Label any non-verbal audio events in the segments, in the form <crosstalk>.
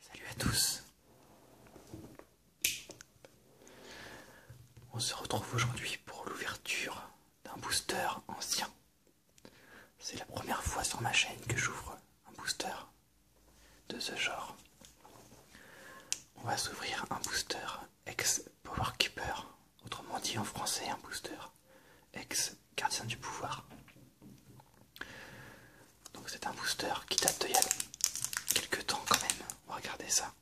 Salut à tous. On se retrouve aujourd'hui pour l'ouverture d'un booster ancien. C'est la première fois sur ma chaîne que j'ouvre un booster de ce genre. On va s'ouvrir un booster ex powerkeeper autrement dit en français un booster ex Gardien du Pouvoir. Donc c'est un booster qui date d'il y a quelques temps quand même. regardez ça.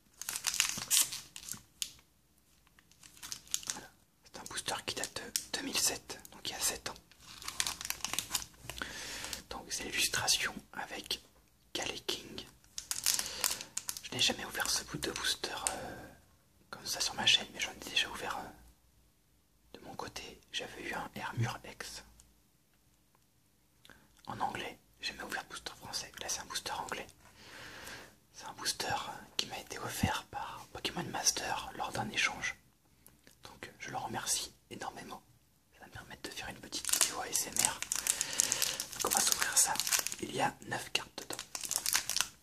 C'est un booster qui date de 2007, donc il y a 7 ans. Donc c'est l'illustration avec Galley King. Je n'ai jamais ouvert ce bout de booster euh, comme ça sur ma chaîne, mais j'en ai déjà ouvert un. De mon côté, j'avais eu un Hermure X. En anglais, j'ai jamais ouvert booster français, là c'est un booster anglais. C'est un booster qui m'a été offert par Pokémon Master lors d'un échange. Donc je le remercie énormément. Ça va me permettre de faire une petite vidéo ASMR. Donc on va s'ouvrir ça. Il y a 9 cartes dedans.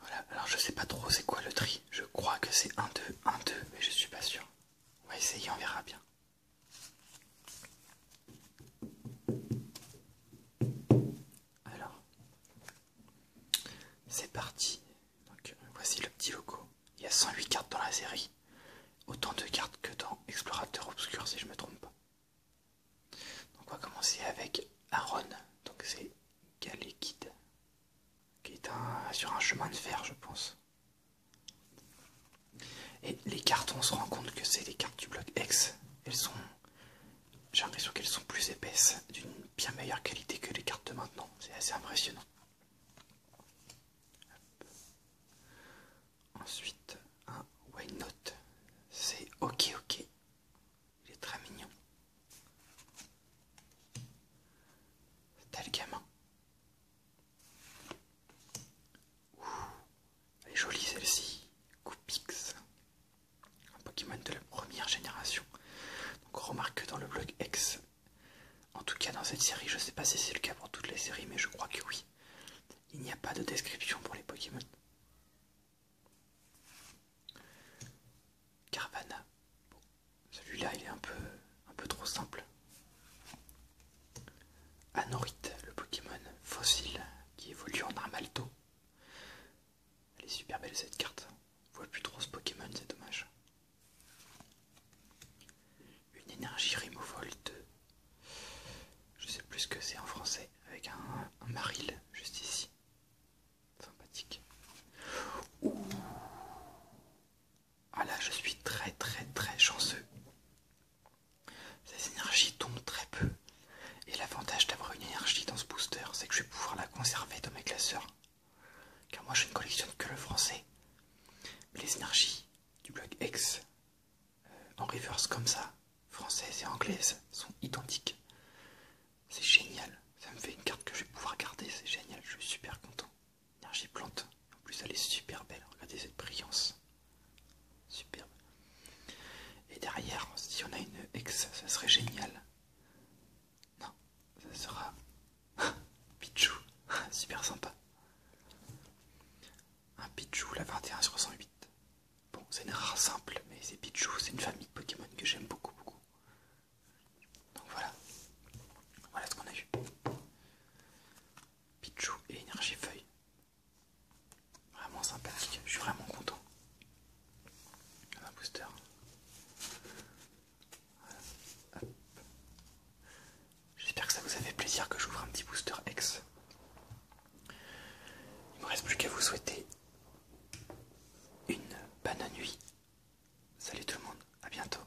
Voilà. alors je sais pas trop c'est quoi le tri. Je crois que c'est 1, 2, 1, 2, mais je suis pas sûr. On va essayer, on verra bien. Alors, c'est parti euh, voici le petit logo. Il y a 108 cartes dans la série. Autant de cartes que dans Explorateur Obscur si je me trompe pas. Donc on va commencer avec Aaron. Donc c'est Galekid. Qui est sur un chemin de fer je pense. Et les cartes on se rend compte que c'est les cartes du bloc X. Elles sont... J'ai l'impression qu'elles sont plus épaisses, d'une bien meilleure qualité que les cartes de maintenant. C'est assez impressionnant. Ensuite, un white note, C'est ok, ok. Il est très mignon. Tel gamin. elle est jolie celle-ci. Coupix un Pokémon de la première génération. Donc on remarque que dans le blog X, en tout cas dans cette série, je ne sais pas si c'est le cas pour toutes les séries, mais je crois que oui, il n'y a pas de description pour les Pokémon. Carvana. Celui-là, il est un peu, un peu trop simple. Anorite, le Pokémon fossile qui évolue en Armalto. Elle est super belle cette carte. On voit plus trop ce Pokémon, c'est dommage. Une énergie Removal 2. Je sais plus ce que c'est en français, avec un, maril juste ici. Sympathique. Ouh. Ah là, je suis très très très chanceux. Ces énergies tombent très peu. Et l'avantage d'avoir une énergie dans ce booster, c'est que je vais pouvoir la conserver dans mes classeurs. Car moi je ne collectionne que le français. Mais les énergies du bloc X, euh, en reverse comme ça, française et anglaise, sont identiques. C'est génial. Ça me fait une carte que je vais pouvoir garder, c'est génial, je suis super content. Énergie plante. En plus elle est super belle, regardez cette brillance. Superbe. Et derrière, si on a une ex, ça serait génial. Non, ça sera... <laughs> Pichou, <laughs> super sympa. Un Pichou, la 21 sur 108. Bon, c'est une rare simple, mais c'est Pichou, c'est une famille de Pokémon que j'aime beaucoup, beaucoup. Donc voilà. Voilà ce qu'on a vu. Pichou et énergie feuille. Vraiment sympathique, je suis vraiment content. Un booster. J'espère que ça vous a fait plaisir que j'ouvre un petit booster X. Il me reste plus qu'à vous souhaiter une bonne nuit. Salut tout le monde, à bientôt.